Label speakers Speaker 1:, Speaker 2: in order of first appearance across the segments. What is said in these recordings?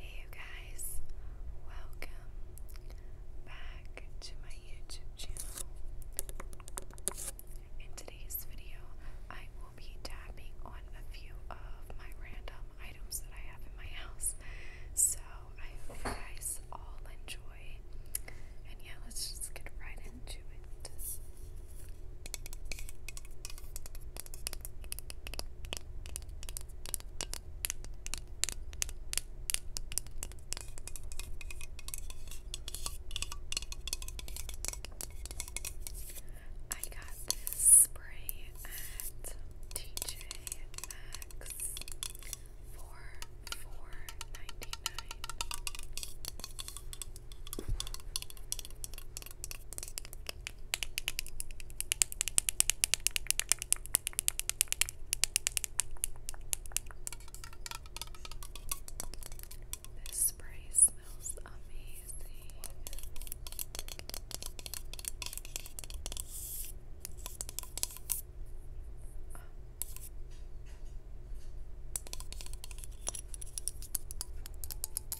Speaker 1: Hey you guys, welcome back to my YouTube channel. In today's video, I will be tapping on a few of my random items that I have in my house. So I hope you guys all enjoy. And yeah, let's just get right into it. I got this spray at TJ Maxx for four ninety nine. This spray smells amazing. Oh.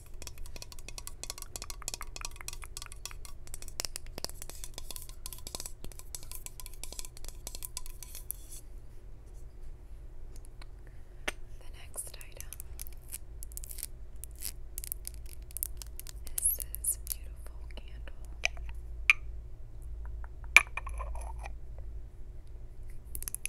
Speaker 1: The next item is this beautiful candle.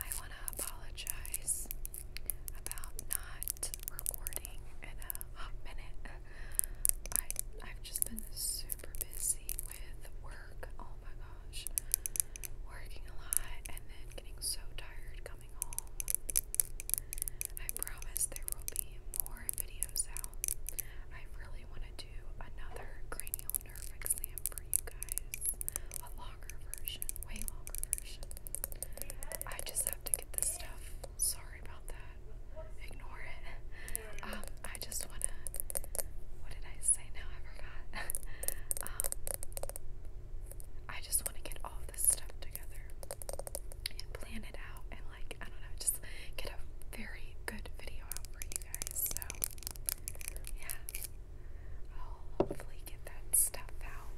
Speaker 1: I want to apologize about not recording in a minute. I've just been super busy with work. Oh my god. Working a lot and then getting so tired coming home. I promise there will be more videos out. I really want to do another cranial nerve exam for you guys. A longer version, way longer version. I just have to get this stuff. Sorry about that. Ignore it. Um, I just want What did I say now? I forgot. um, I just want to get all this stuff together and plan it out and like I don't know, just get a very good video out for you guys. So yeah. I'll hopefully get that stuff out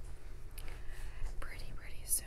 Speaker 1: pretty pretty soon.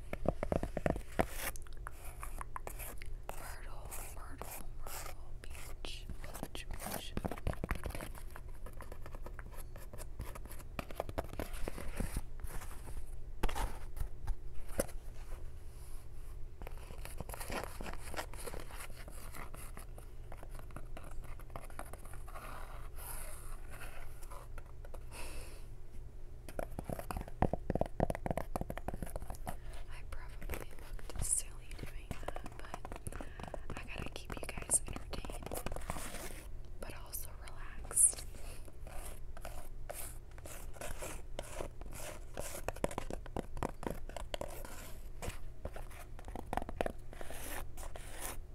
Speaker 1: Myrtle, Myrtle, Myrtle, Beach, Beach, Beach. Myrtle, I probably looked silly doing that, but I gotta keep you guys entertained, but also relaxed.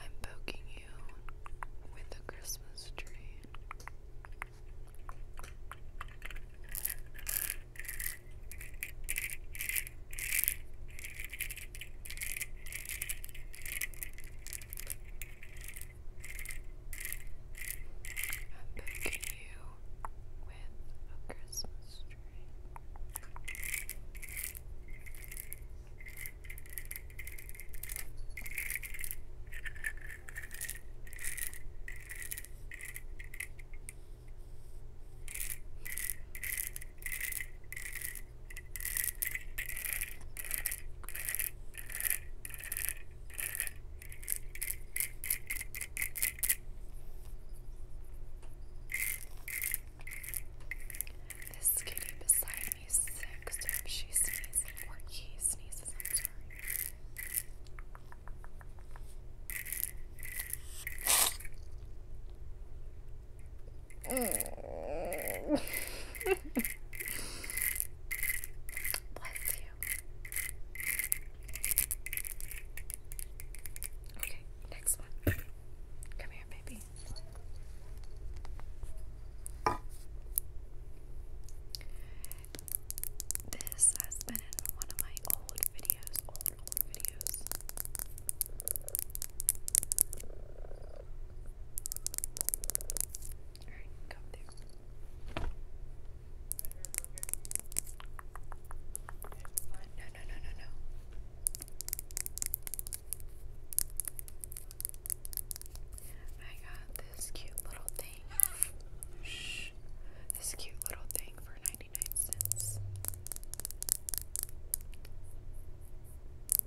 Speaker 1: I'm poking you with a Christmas tree. I'm baking you with a Christmas tree. This kitty beside me is if she sneezes or he sneezes, I'm sorry. Bless you. Okay, next one. Come here, baby. This has been in one of my old videos, old, old videos. Alright, go No, no, no, no, no. I got this cute little thing. Shh. This cute little thing for 99 cents.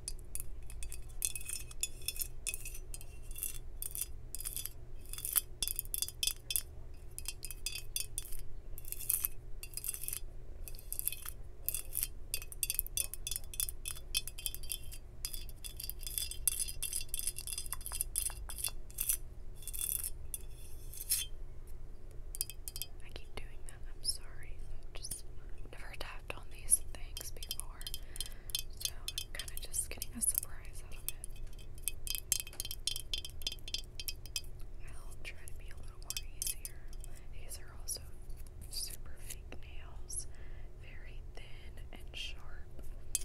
Speaker 1: I keep doing that. I'm sorry. i just never tapped on these things before. So I'm kind of just getting a surprise out of it. I'll try to be a little more easier. These are also super fake nails, very thin and sharp.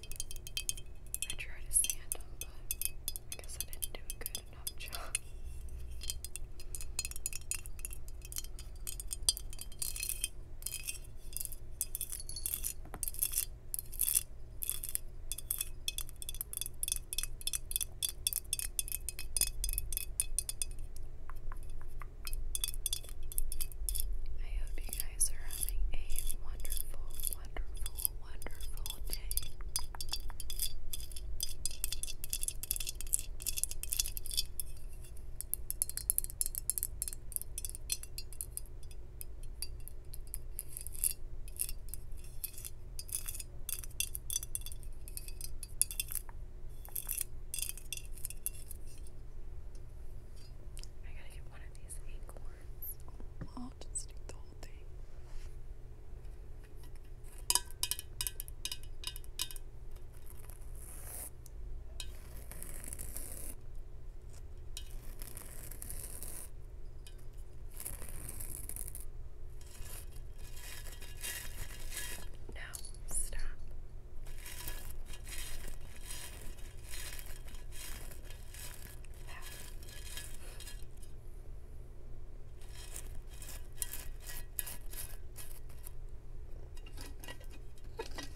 Speaker 1: I tried to sand them, but I guess I didn't do a good enough job. I hope you guys are having a wonderful, wonderful, wonderful day. I gotta get one of these acorns. I'll just eat the whole thing. No, stop. Wow.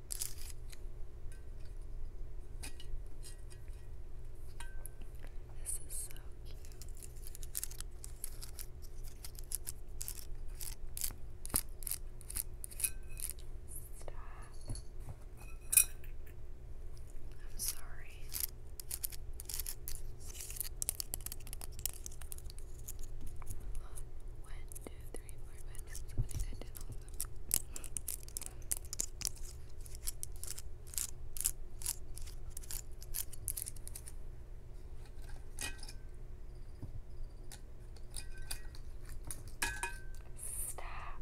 Speaker 1: This is so cute. Stop. I'm sorry. what two, three, four, five, six, seven, eight, nine, ten, all Stop.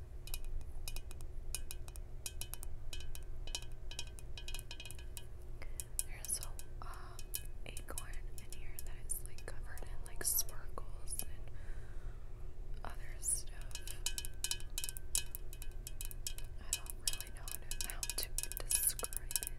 Speaker 1: There's a um, acorn in here that is like covered in like sparkles and other stuff. I don't really know how to describe it.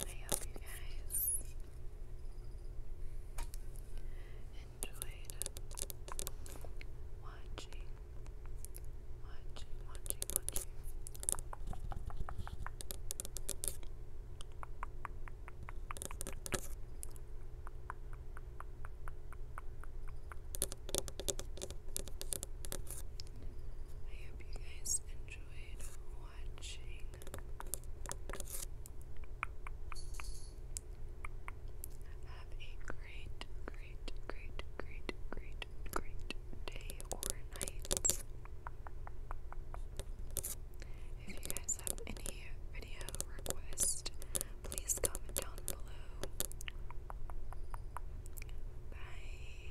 Speaker 1: I hope you guys enjoyed watching, watching, watching, watching. I hope you guys enjoyed watching. Have a great, great, great, great, great, great day or night. If you guys have any video request, please comment down below. Bye.